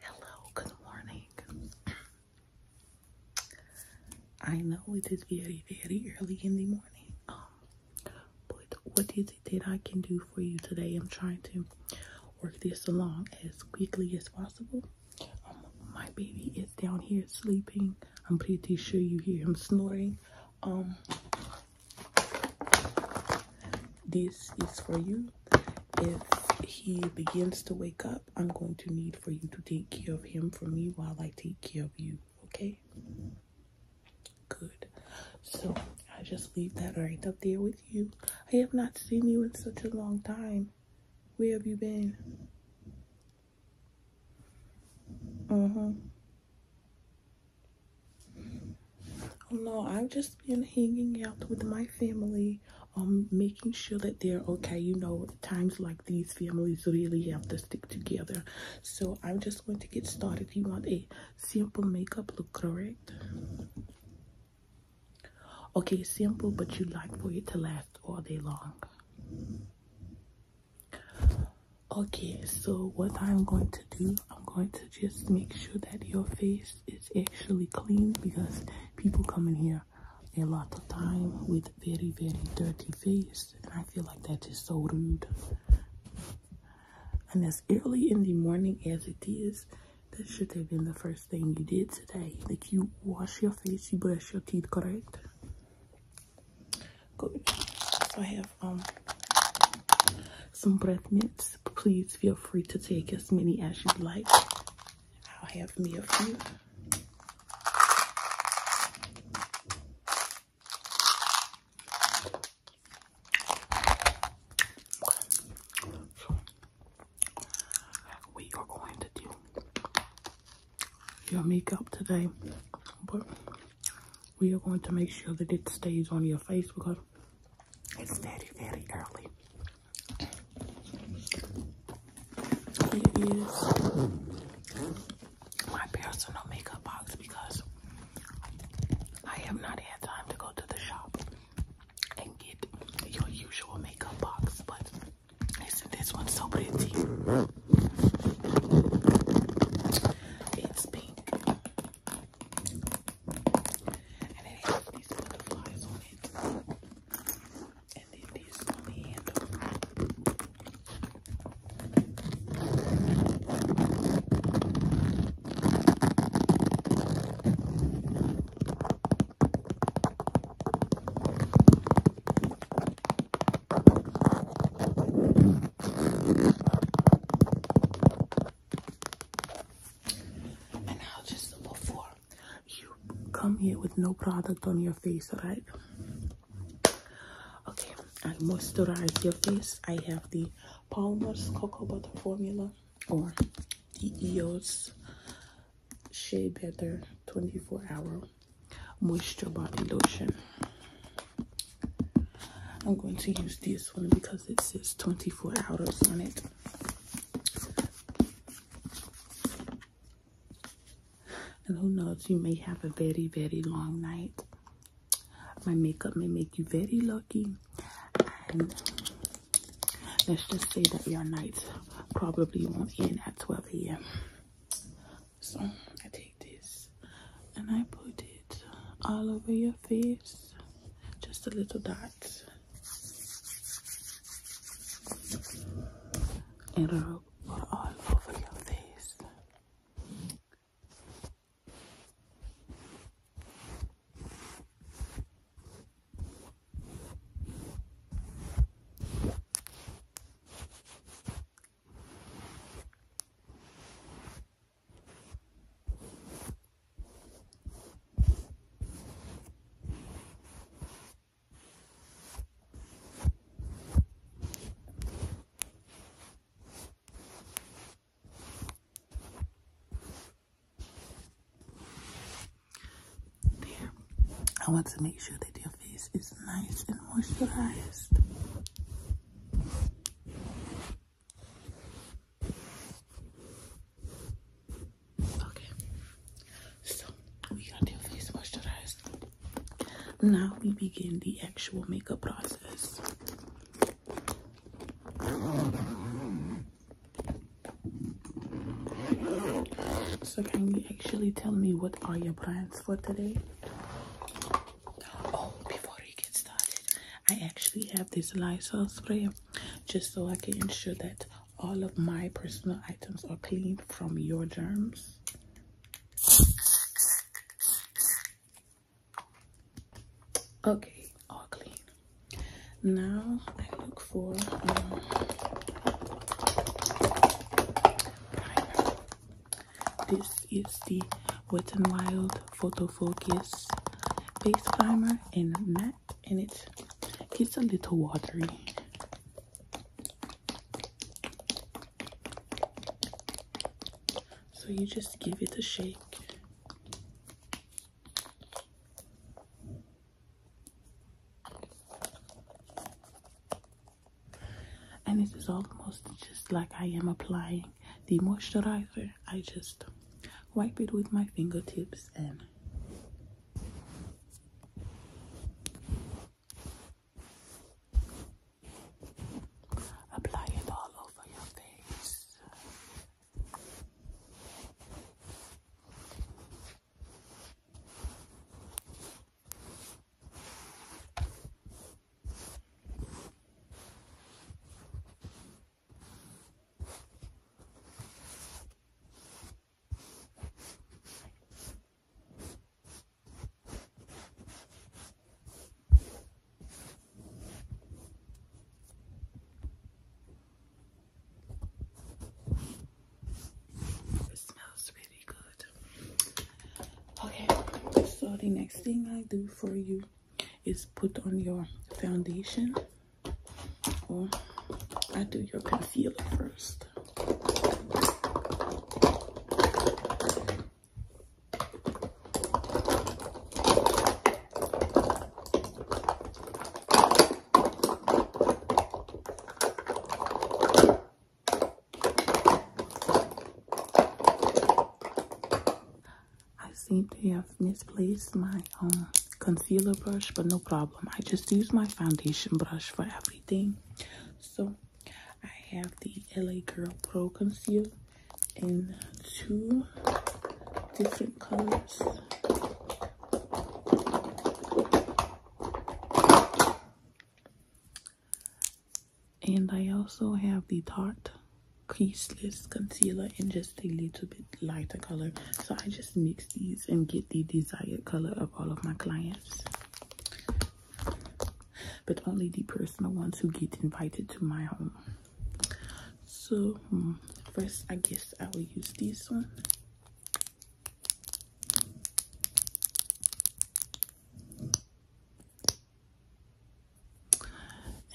Hello, good morning. I know it is very, very early in the morning, um, but what is it that I can do for you today? I'm trying to work this along as quickly as possible. Um, my baby is down here sleeping. I'm pretty sure you hear him snoring. Um, this is for you if he begins to wake up, I'm going to need for you to take care of him for me while I take care of you. Okay? Good. So I just leave that right up there with you. I have not seen you in such a long time. Where have you been? Uh mm-hmm. huh. Um, no, I've just been hanging out with my family, um, making sure that they're okay. You know, times like these, families really have to stick together. So I'm just going to get started. You want a simple makeup look, correct? Okay, simple, but you like for it to last all day long. Okay, so what I'm going to do, I'm going to just make sure that your face it's actually clean because people come in here a lot of time with very, very dirty face. And I feel like that is so rude. And as early in the morning as it is, that should have been the first thing you did today. Like you wash your face, you brush your teeth, correct? Good. So I have um some breath mints please feel free to take as many as you'd like. I'll have me a few. So, we are going to do your makeup today, but we are going to make sure that it stays on your face because it's very, very early. It is my personal makeup box because I have not had time to go to the shop and get your usual makeup box, but isn't this one so pretty? And it has these butterflies on it. And then this on the handle. And now just before you come here with no product on your face, right? Okay, I moisturize your face. I have the Palmer's Cocoa Butter Formula or the EOS Shea Better 24 Hour Moisture Body Lotion. I'm going to use this one because it says 24 hours on it. And who knows, you may have a very, very long night. My makeup may make you very lucky. let's just say that your nights probably won't end at 12 a.m. So I take this and I put it all over your face. Just a little dot. And It'll rub all over your face. I want to make sure that your face is nice and moisturized. Okay, so we got their face moisturized. Now we begin the actual makeup process. So can you actually tell me what are your plans for today? Oh, before we get started, I actually have this Lysol spray just so I can ensure that all of my personal items are clean from your germs. Okay, all clean. Now I look for um, This is the Wet n Wild photo focus base primer and matte and it gets a little watery so you just give it a shake and this is almost just like I am applying the moisturizer I just wipe it with my fingertips and apply it all over your face. It smells really good. Okay, so the next thing I do for you is put on your foundation or I do your concealer first. I seem to have misplaced my um, concealer brush, but no problem. I just use my foundation brush for everything. So I have the LA Girl Pro Concealer in two different colors. And I also have the Tarte creaseless concealer and just a little bit lighter color so i just mix these and get the desired color of all of my clients but only the personal ones who get invited to my home so hmm, first i guess i will use this one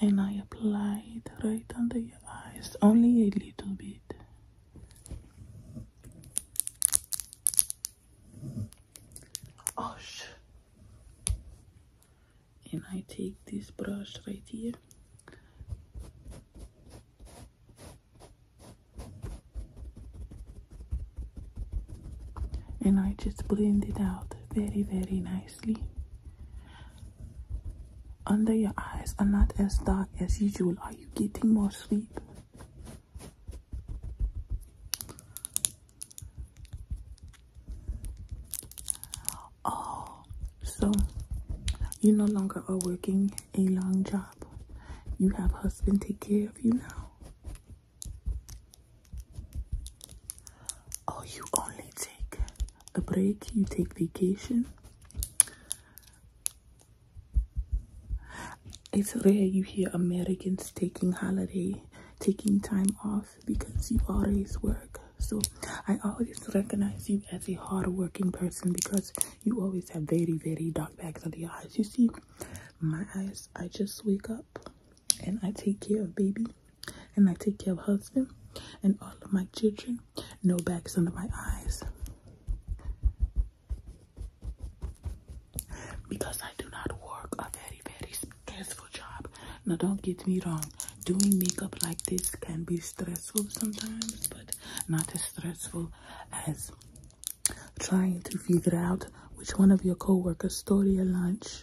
and I apply it right under your eyes, only a little bit. Oh, and I take this brush right here. And I just blend it out very, very nice nicely under your eyes are not as dark as usual are you getting more sleep oh so you no longer are working a long job you have husband take care of you now Oh, you only take a break, you take vacation. It's rare you hear Americans taking holiday, taking time off because you always work. So I always recognize you as a hardworking person because you always have very, very dark bags under your eyes. You see, my eyes, I just wake up and I take care of baby and I take care of husband and all of my children. No bags under my eyes. Because I do not work a very, very stressful job. Now don't get me wrong. Doing makeup like this can be stressful sometimes, but not as stressful as trying to figure out which one of your coworkers stole your lunch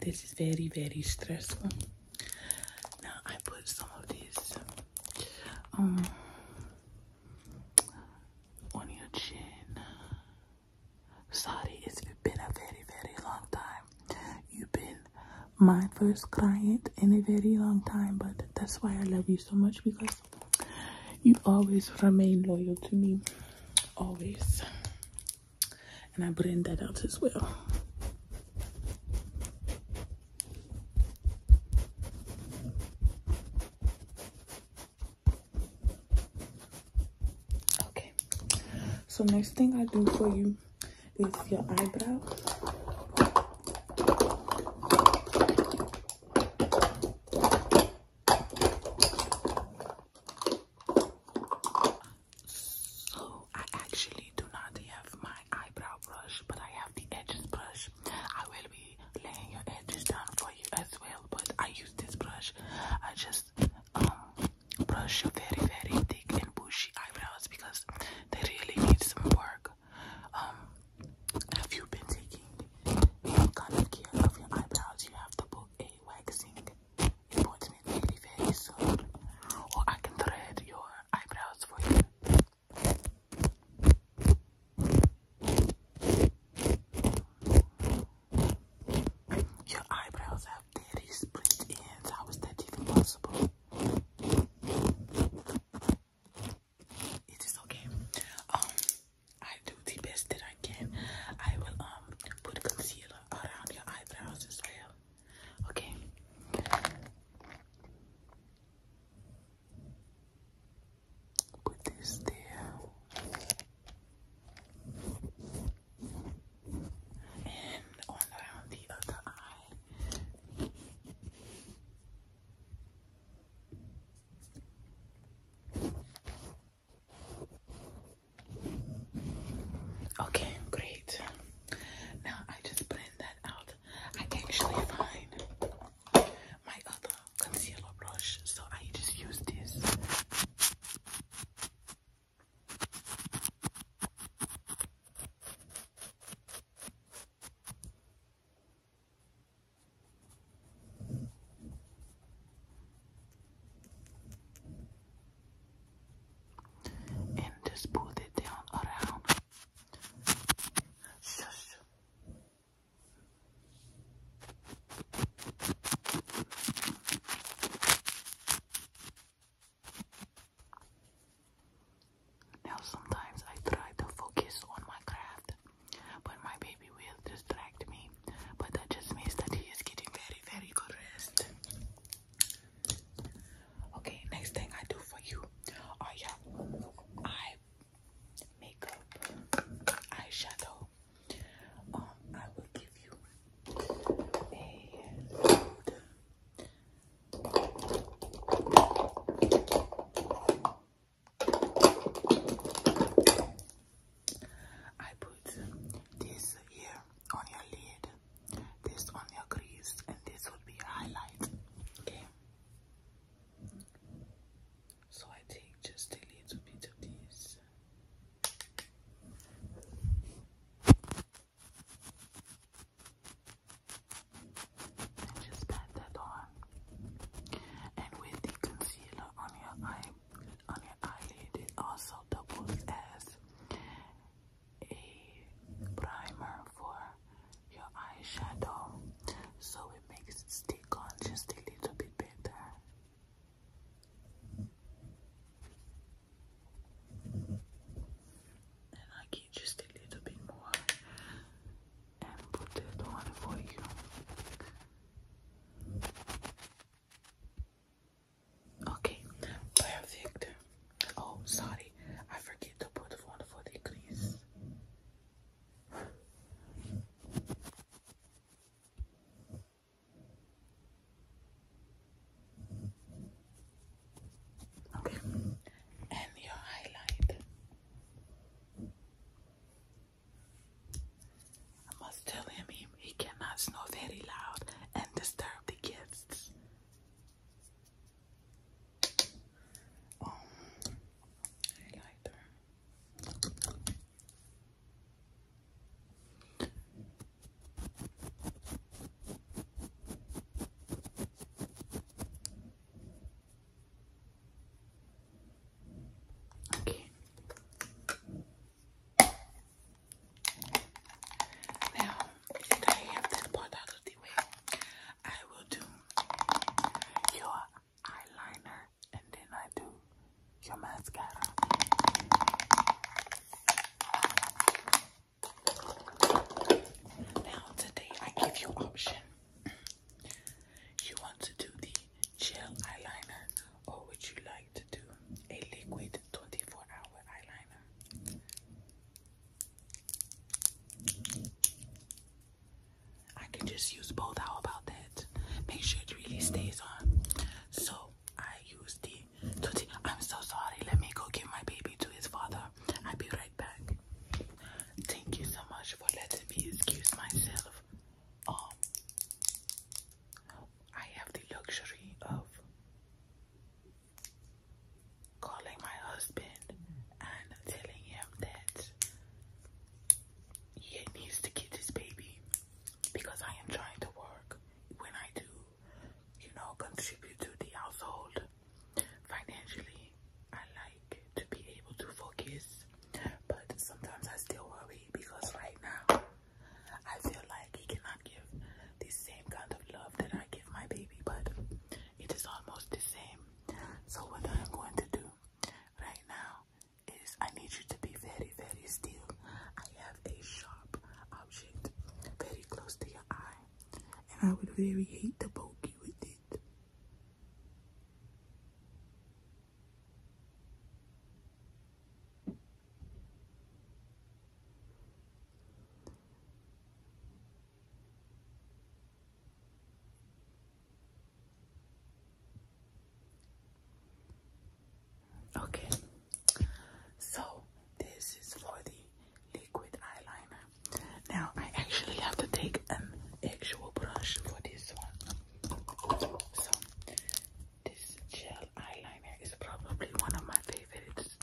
this is very, very stressful. Now I put some of this um, on your chin. Sorry, it's been a very, very long time. You've been my first client in a very long time, but that's why I love you so much because you always remain loyal to me always and I blend that out as well okay so next thing I do for you is your eyebrows. So I actually do not have my eyebrow brush, but I have the edges brush. I will be laying your edges down for you as well, but I use this brush. I just um brush your very very thick and bushy eyebrows because they really need some work. Um have you been taking kind of care of your eyebrows. You have to put a waxing appointment maybe very soon, or I can thread your eyebrows for you. Your eyebrows have dirty split ends. How is that even possible? It is okay. Um, I do the best that I can. I will um put concealer around your eyebrows as well. Okay. Put this there. And on around the other eye. Okay, great. Now I just blend that out. I actually find my other concealer brush, so I just use this and just pull it down around. Shush. Now sometimes I try to focus on my craft but my baby will distract me. But that just means that he is getting very, very good rest. Okay, next thing I do for you are your eye makeup, eyeshadow. Um, I will give you a I put this here on your lid, this on your crease, and this will be a highlight. Okay. So I take just a little bit of this. And just pat that on. And with the concealer on your eye, on your eyelid, it also doubles as a primer for your eyeshadow, so it makes it stick on just a little bit better. And I get just a little bit more and put that one for you. Okay, perfect. Oh, sorry, I forget to put one for the crease. Okay, and your highlight. I must tell him he, cannot snore very loud and disturb the kids. Um, highlighter. Okay. Now I have that part out the way, I will do your eyeliner and then I do your mascara. Now today I give you option. You want to do the gel eyeliner, or would you like to do a liquid 24 hour eyeliner? I can just use both. How about that? Make sure it really stays on. So I use the. I'm so sorry. Let me go give my baby to his father. I'll be right back. Thank you so much for letting me excuse myself um, I have the luxury of calling my husband and telling him that he needs to get this baby because I am trying to work when I do, you know, contribute to the household financially. I like to be able to focus but sometimes I still worry because right now I feel like he cannot give the same kind of love that I give my baby, but it is almost the same. So what I'm going to do right now is I need you to be very, very still. I have a sharp object very close to your eye, and I would very hate to poke you with it. Okay, so this is for the liquid eyeliner. Now I actually have to take an actual brush for this one. So, this gel eyeliner is probably one of my favorites.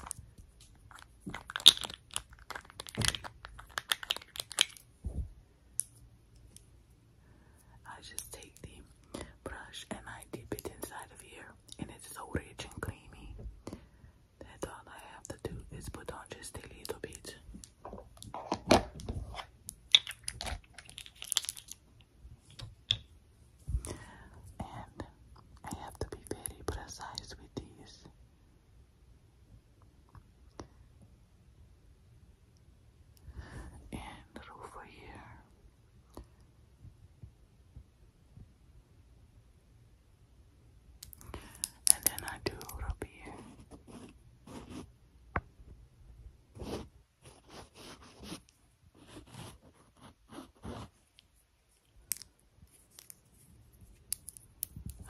I just take the brush and I dip it inside of here, and it's so rich and creamy that all I have to do is put on just a little bit. And I have to be very precise with these. And over here. And then I do it here.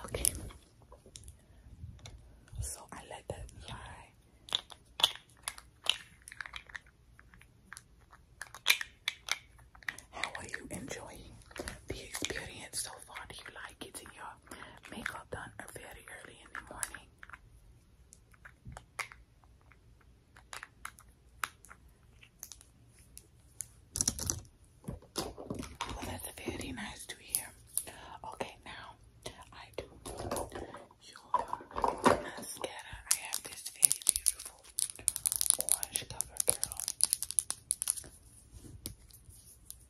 Okay, so I let that dry. How are you enjoying the experience so far? Do you like getting your makeup workout done very early in the morning. that's very nice to hear. Okay, now I do mascara. I have this very beautiful orange cover girl.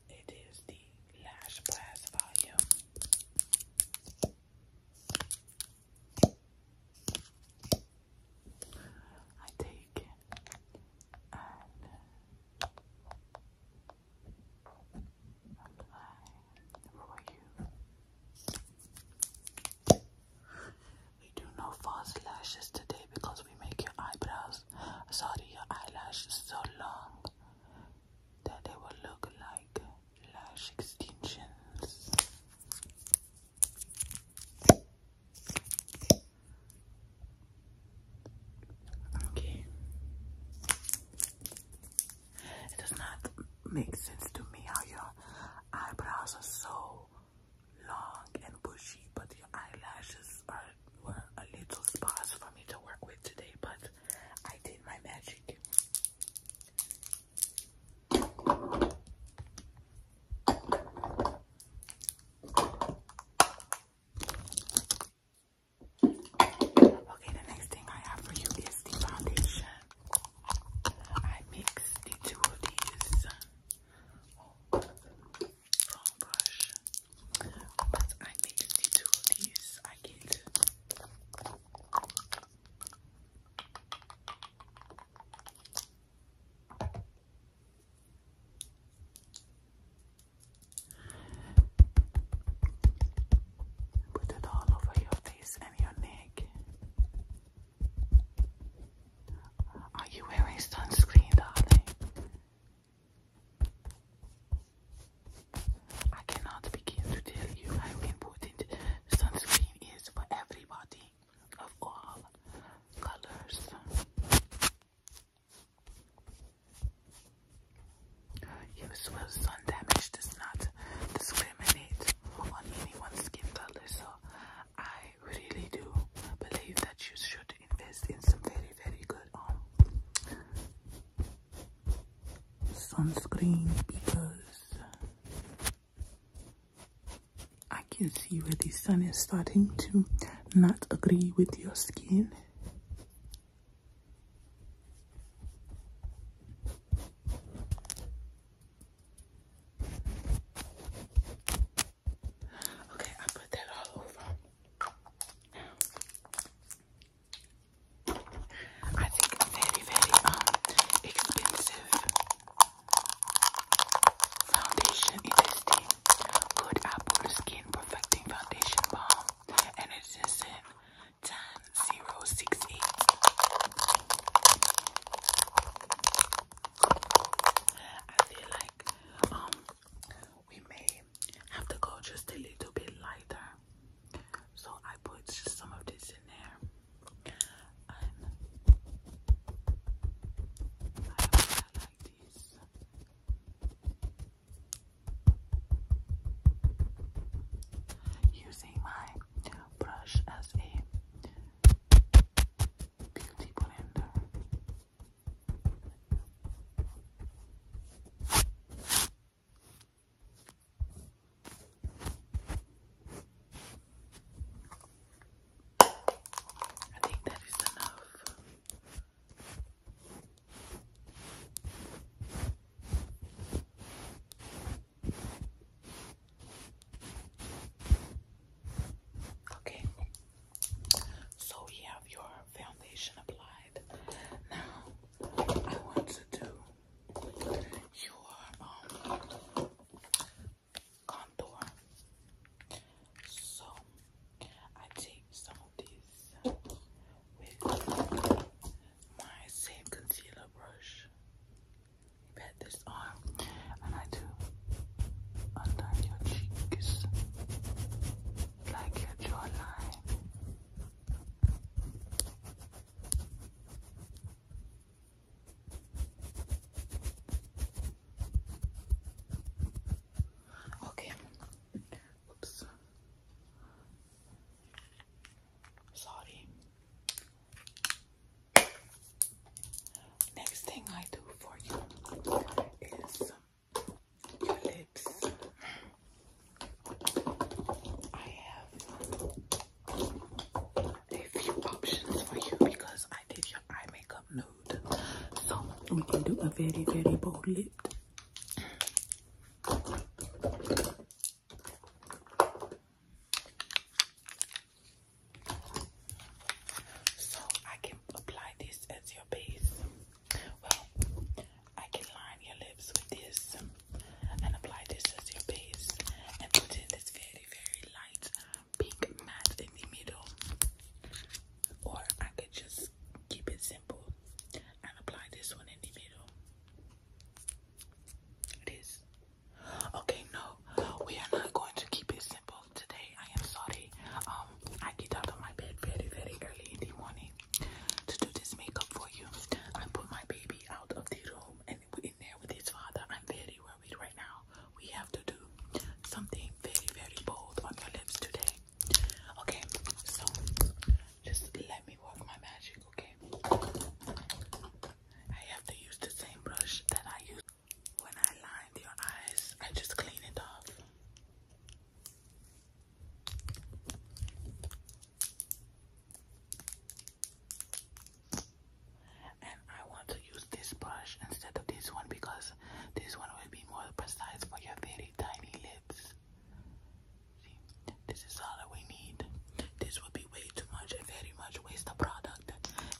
It is the Lash Blast Volume. I take and apply for you. We do no false lashes today because we make your eyebrows, sorry, your eyelashes so long that they will look like lash extensions. Okay. It does not make sense to me how your eyebrows are so long and bushy, but your eyelashes are were a little sparse for me to work with today, but I did my magic. Okay, the next thing I have for you is the foundation. I mix the two of these foam oh, But I need two of these. I get Put it all over your face and your neck. Are you wearing sunscreen, darling? I cannot begin to tell you how important sunscreen is for everybody of all colors. Usual sun damage does not discriminate on anyone's skin color, so I really do believe that you should invest in some very, very good um, sunscreen because I can see where the sun is starting to not agree with your skin. Okay, I put that all over. I think very, very um expensive foundation in this Good apple skin perfecting foundation balm, and it's just in ten zero six eight. I feel like um we may have to go just a little bit lighter. So I put some of this in there. And I like this. Using my brush as a beauty blender. I think that is enough. Okay, so we have your foundation applied. Now I want to do your um, contour. So I take some of these with my same concealer brush. Bet this arm and I do under your cheeks like your jawline. Okay. Oops. Sorry. Next thing I do for you is your lips. I have a few options for you because I did your eye makeup nude. So we can do a very, very bold lip. So I can apply this as your base. Well, I can line your lips with this and apply this as your base and put in this very, very light pink matte in the middle. Or I could just keep it simple and apply this one in the middle. It is. Okay, no, we are not going to keep it simple today I am sorry. Um, I get out of my bed very, very early in the morning to do this makeup for you. I put my baby out of the room and in there with his father. I'm very worried right now. We have to do something very, very bold on your lips today. Okay, so just let me work my magic, okay? I have to use the same brush that I use when I lined your eyes. I just clean it off. And I want to use this brush instead of this one because this one will be more precise for your very tiny lips. this is all that we need. This would be way too much and very much waste of product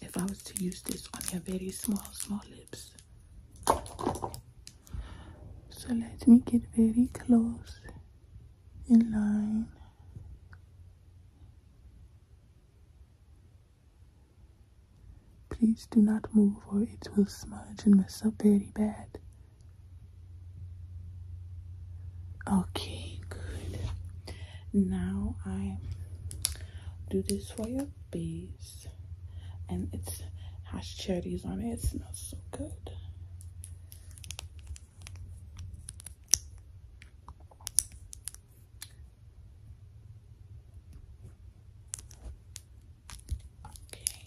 if I was to use this on your very small, small lips. So let me get very close in line. Please do not move or it will smudge and mess up very bad. Okay, good. Now I do this for your base. And it's hash cherries on it. It smells so good. Okay.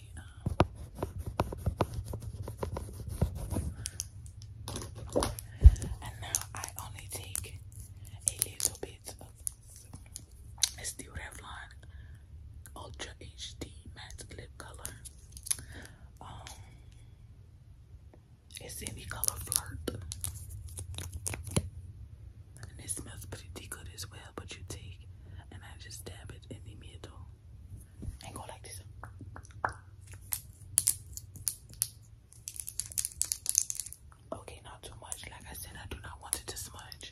Um. and now I only take a little bit it's the Revlon Ultra HD Matte Lip Color. Um, it's any color Flirt. And it smells pretty good as well, but you take and I just dab it in the middle and go like this. Okay, not too much. Like I said, I do not want it to smudge.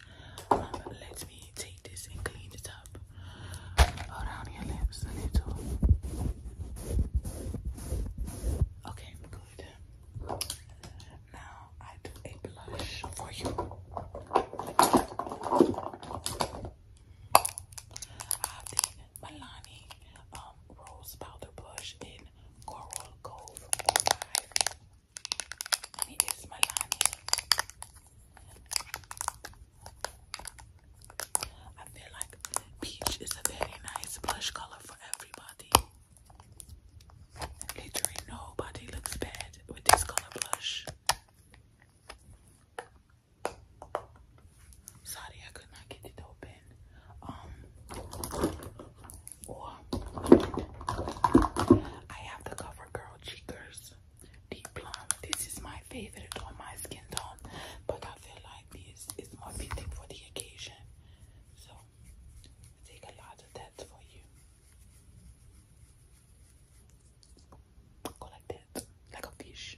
Um, let me take this and clean it up Hold around your lips a little. Okay, good. Now I do a blush for you. I did Milani um, Rose Powder Blush in Coral Cove it is Melania. I feel like peach is a very nice blush color for everybody. Literally nobody looks bad with this color blush. Sorry, I could not get it open. Um, I have the CoverGirl Cheekers Deep Plum. This is my favorite on my skin tone, but I feel like this is more fitting for the occasion. So take a lot of that for you. Go like that, like a fish.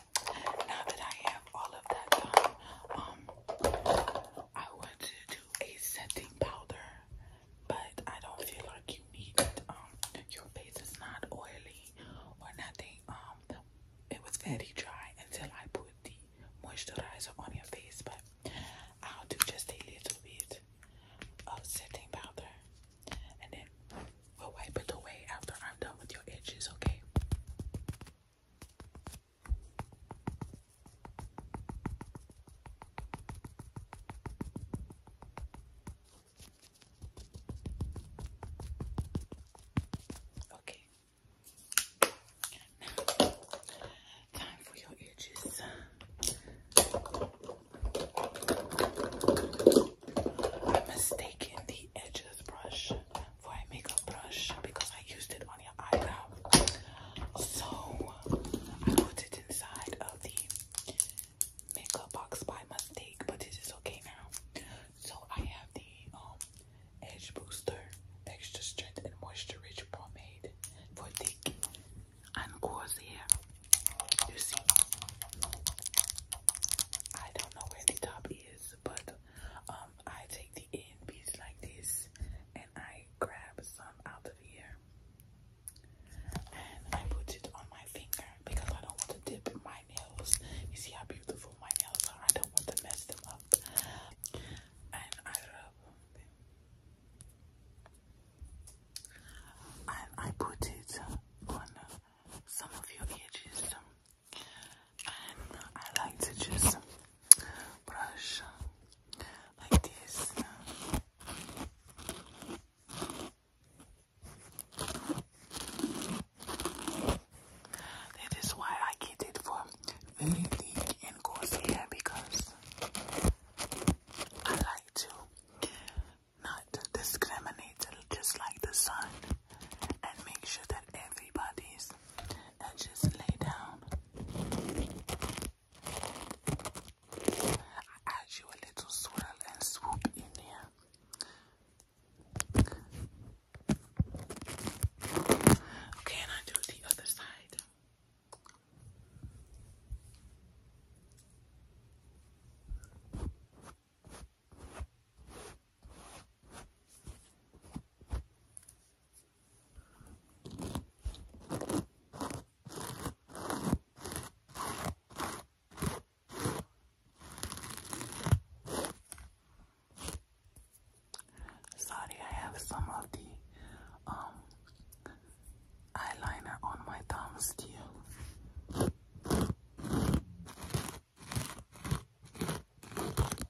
now that I have all of that done, um, I want to do a setting powder, but I don't feel like you need it. Um, your face is not oily or nothing. Um, it was very dry until I put the moisturizer on your face, but I'll do just a little bit of setting powder, and then we'll wipe it away after I'm done with your edges, okay? Okay. Now, time for your edges. mistaken the edges brush for a makeup brush because I used it on your eyebrow. So I put it inside of the makeup box by mistake, but it is okay now. So I have the um, Edge Booster Extra Strength and Moisture Rich Pomade for thick and coarse hair. You see, I don't know where the top is, but um, I take the end piece like this and I grab some out of here and I put it on my finger because I don't want to dip my nails. You see how beautiful my nails are, I don't want to mess them up. And I rub them. And I put it on some of your edges and I like to just brush like this. That is why I get it for very thick and coarse hair because I like to not discriminate, just like the sun, and make sure that everybody's and just lay down. add you a little swirl and swoop in there. Okay, and I do the other side. Sorry, I have some of the um eyeliner on my thumb still. I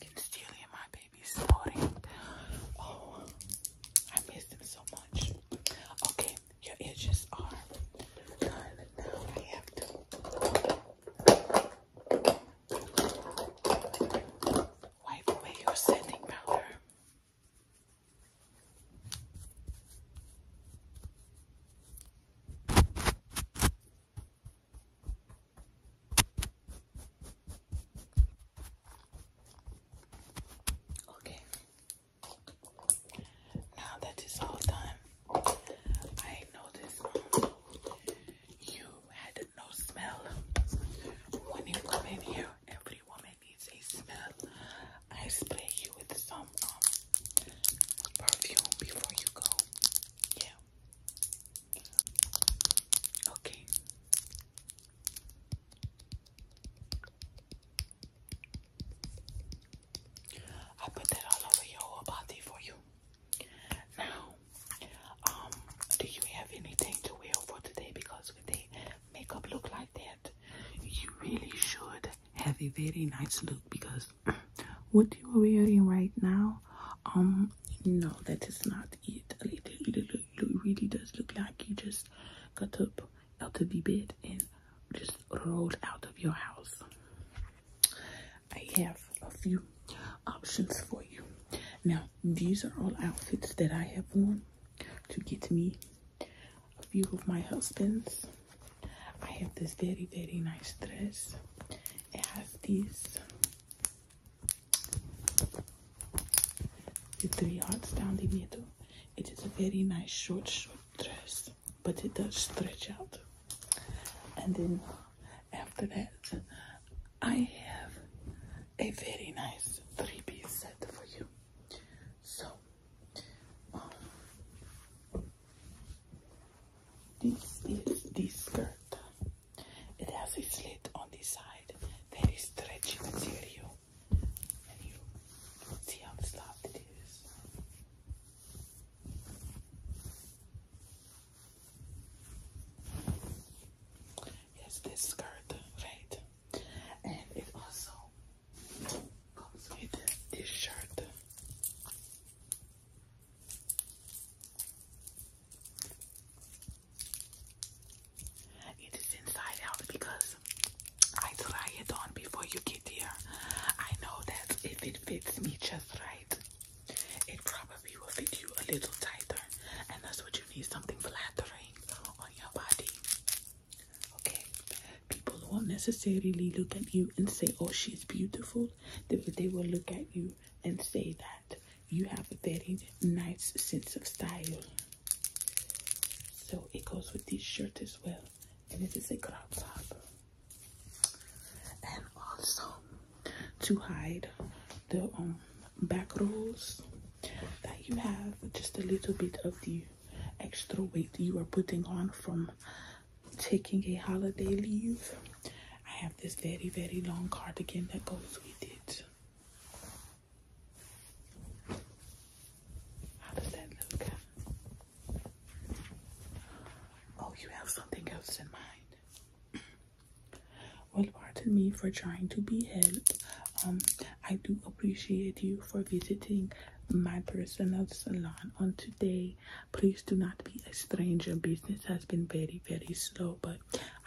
can steal hear my baby snoring. Oh, I missed him so much. Okay, your edges are done. Now have to. Wipe away your setting powder. Okay. Now that it's all done, I noticed you had no smell when you come here. Every woman needs a smell, I spray you with some um, perfume before you go. Yeah. Okay. I put that all over your whole body for you. Now, um, do you have anything to wear for today? Because with the makeup look like that, you really should have a very nice look because what you are wearing right now, um, no, that is not it. It really does look like you just got up out of the bed and just rolled out of your house. I have a few options for you. Now, these are all outfits that I have worn to get to me a few of my husbands. I have this very, very nice dress. It has these the three hearts down the middle. It is a very nice short, short dress, but it does stretch out. And then after that, I have a very nice three-piece set for you. So this is the skirt. It has a slit on the side, very stretchy material, and you see how soft it is. Yes, this skirt, right? And it also comes with this shirt. It is inside out because I try it on before you get here. I know that if it fits me just right, it probably will fit you a little tighter, and that's what you need something flattering on your body. Okay, people won't necessarily look at you and say, Oh, she's beautiful. They, will look at you and say that you have a very nice sense of style. So it goes with this shirt as well, and it is a crop top. And also to hide the um, back rolls that you have, just a little bit of you extra weight you are putting on from taking a holiday leave. I have this very, very long cardigan that goes with it. How does that look? Oh, you have something else in mind. Well, pardon me for trying to be help, um, I do appreciate you for visiting my personal salon on today. Please do not be a stranger. Business has been very, very slow, but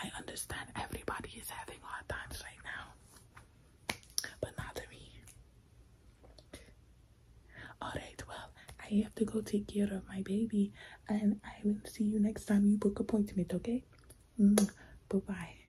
I understand everybody is having hard times right now. But not me. Alright, well, I have to go take care of my baby, and I will see you next time you book appointment, okay? Mm, bye-bye.